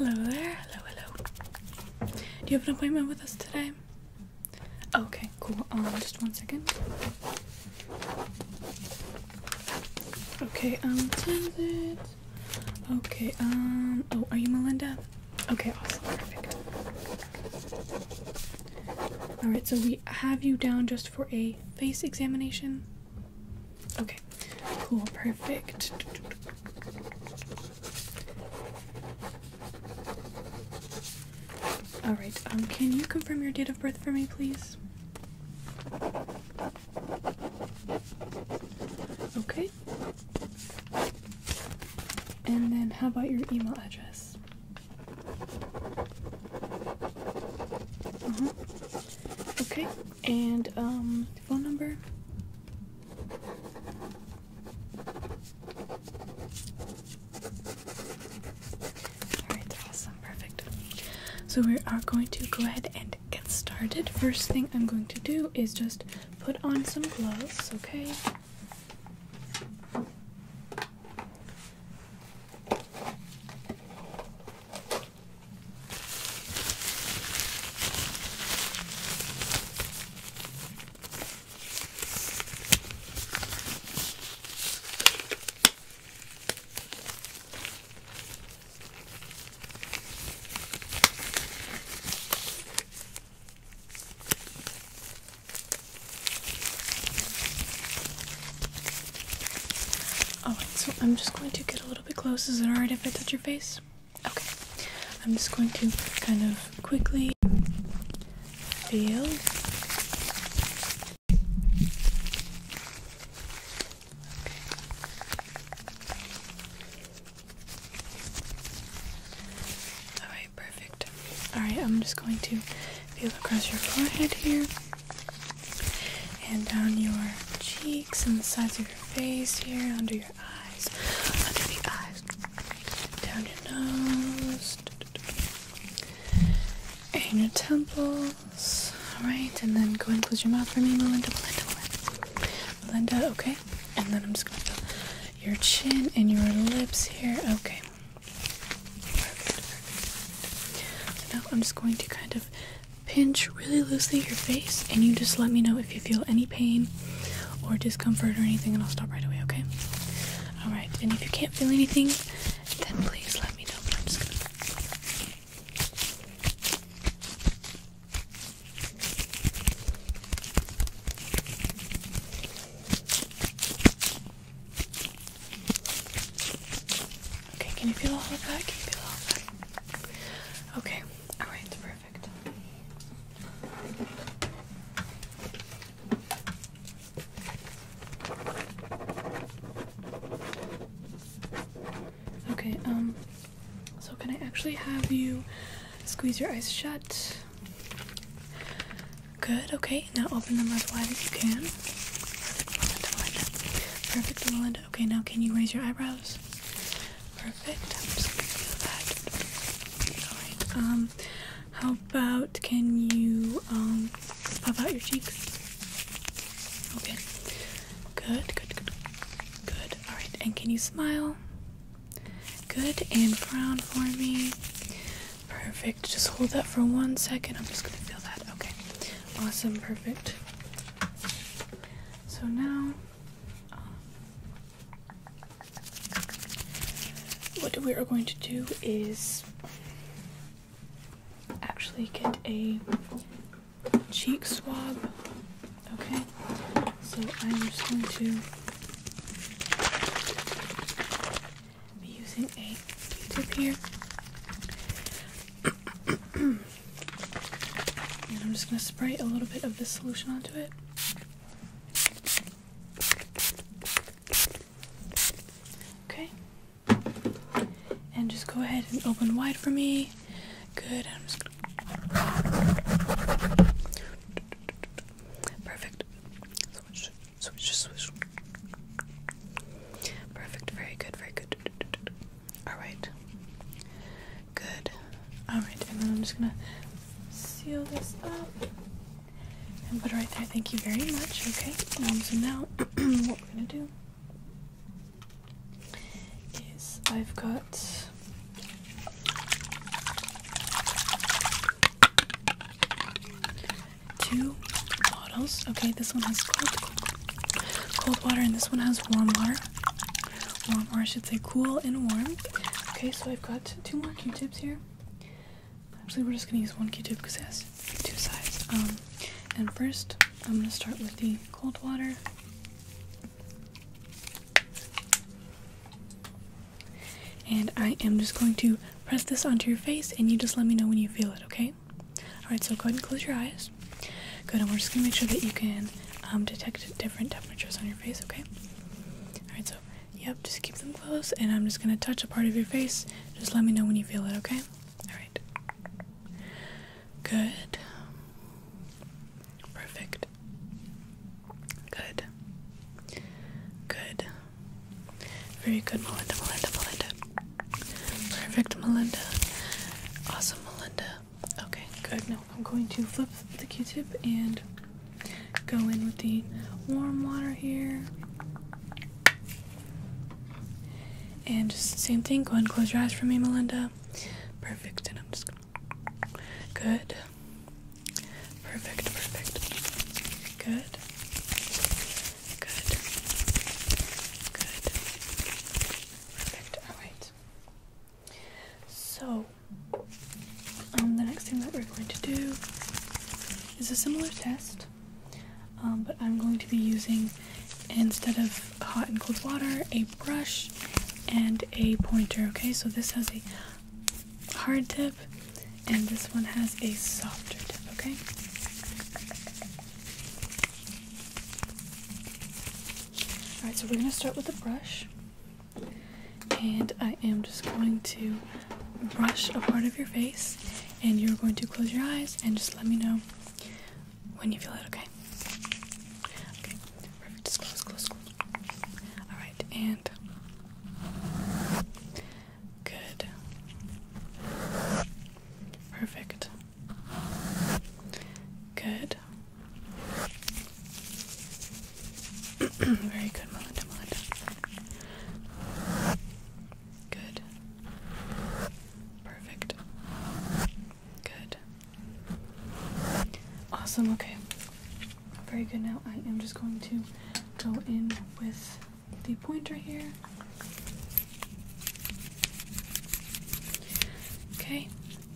Hello there, hello, hello. Do you have an appointment with us today? Okay, cool. Um, just one second. Okay, um, what time is Okay, um, oh, are you Melinda? Okay, awesome, perfect. Alright, so we have you down just for a face examination. Okay, cool, perfect. Alright, um, can you confirm your date of birth for me, please? Okay. And then how about your email address? Uh mm-hmm. -huh. Okay. And um phone number? Alright, awesome, perfect. So we are going to go ahead and get started, first thing I'm going to do is just put on some gloves, okay? Oh, alright, so I'm just going to get a little bit close. Is it alright if I touch your face? Okay. I'm just going to kind of quickly feel. Alright, perfect. Alright, I'm just going to feel across your forehead here and down your cheeks and the sides of your face here, under your eyes, under the eyes, down your nose, and your temples. Alright, and then go and close your mouth for me. Melinda. Melinda, okay? And then I'm just gonna put your chin and your lips here. Okay. now I'm just going to kind of pinch really loosely your face and you just let me know if you feel any pain or discomfort or anything and I'll stop right away, okay? Alright, and if you can't feel anything, then please let me know. I'm just gonna Okay, can you feel all of that? Can you feel all of that? Okay, alright, perfect. Okay, um, so can I actually have you squeeze your eyes shut? Good, okay. Now open them as wide as you can. Melinda, Melinda. Perfect, Melinda. Okay, now can you raise your eyebrows? Perfect. just going that. Alright, um, how about can you, um, pop out your cheeks? Okay. Good, good, good. Good. All right. And can you smile? Good. And frown for me. Perfect. Just hold that for one second. I'm just going to feel that. Okay. Awesome. Perfect. So now, um, what we are going to do is actually get a cheek swab. Okay, so I'm just going to be using a Q-tip here. and I'm just going to spray a little bit of this solution onto it. Okay. And just go ahead and open wide for me. Good. Perfect. Switch, switch, switch. Perfect. Very good. Very good. All right. Good. All right. And then I'm just gonna seal this up and put it right there. Thank you very much. Okay. Um, so now, what we're gonna do? is I've got two bottles. Okay, this one has cold, cold, cold water and this one has warm water. Warm, or I should say cool and warm. Okay, so I've got two more Q-tips here. Actually, we're just gonna use one Q-tip because it has two sides. Um, and first, I'm gonna start with the cold water. And I am just going to press this onto your face, and you just let me know when you feel it, okay? Alright, so go ahead and close your eyes. Good, and we're just gonna make sure that you can um, detect different temperatures on your face, okay? Alright, so, yep, just keep them closed, and I'm just gonna touch a part of your face. Just let me know when you feel it, okay? Alright. Good. Perfect. Good. Good. Very good, Melinda, Melinda, Melinda. Perfect, Melinda. Awesome, Melinda. Okay, good. Now I'm going to flip the Q-tip and go in with the warm water here. And just same thing. Go ahead and close your eyes for me, Melinda. Perfect. And I'm just going Good. Perfect, perfect. Good. Good. Good. Perfect. Alright. So, um, the next thing that we're going to do is a similar test, um, but I'm going to be using instead of hot and cold water a brush and a pointer okay so this has a hard tip and this one has a softer tip okay all right so we're going to start with the brush and i am just going to brush a part of your face and you're going to close your eyes and just let me know when you feel it, okay? Okay, perfect. close, close, close. Alright, and. Good. Perfect. Good. Very good, Melinda, Melinda. Good. Perfect. Good. Awesome, okay. Very good. Now I am just going to go in with the pointer here. Okay,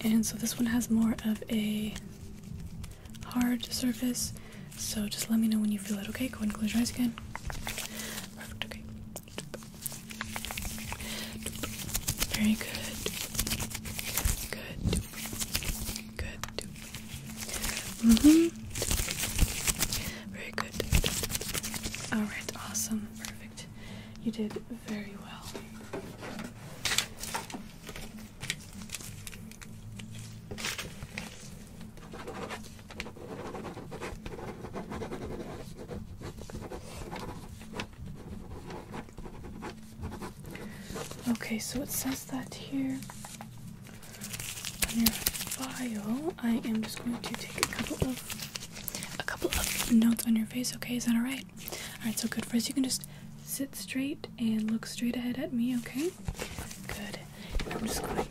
and so this one has more of a hard surface, so just let me know when you feel it, okay? Go ahead and close your eyes again. Perfect, okay. Very good. Good. Good. -hmm. Very good. Alright, awesome. Perfect. You did very well. Okay, so it says that here on your file. I am just going to take a couple of a couple of notes on your face. Okay, is that all right? All right. So good. First, you can just sit straight and look straight ahead at me. Okay. Good. I'm just going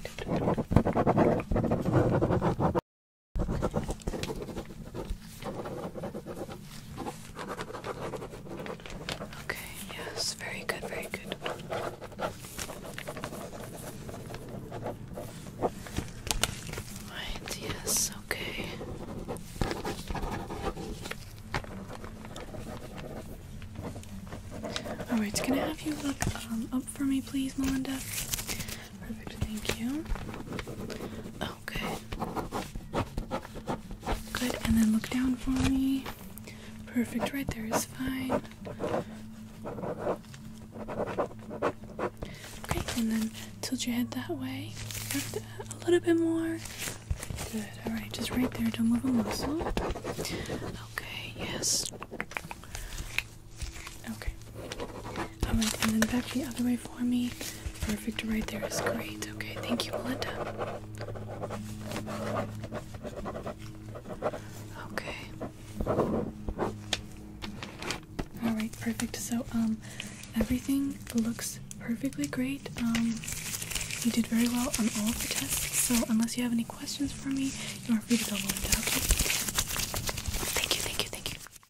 to. Okay, yes, very good, very good. Right, yes, okay. Alright, can I have you look um, up for me, please, Melinda? Perfect, thank you. Okay. Good, and then look down for me. Perfect, right there is fine. Okay, and then tilt your head that way. a little bit more. Good, alright, just right there, don't move a muscle. Okay, yes. Okay. Alright, and then back the other way for me. Perfect, right there is great. Okay, thank you, Melinda. Okay. Alright, perfect. So, um, everything looks perfectly great. Um, you did very well on all of the tests, so unless you have any questions for me, you are free to go, Melinda, okay? Thank you, thank you, thank you.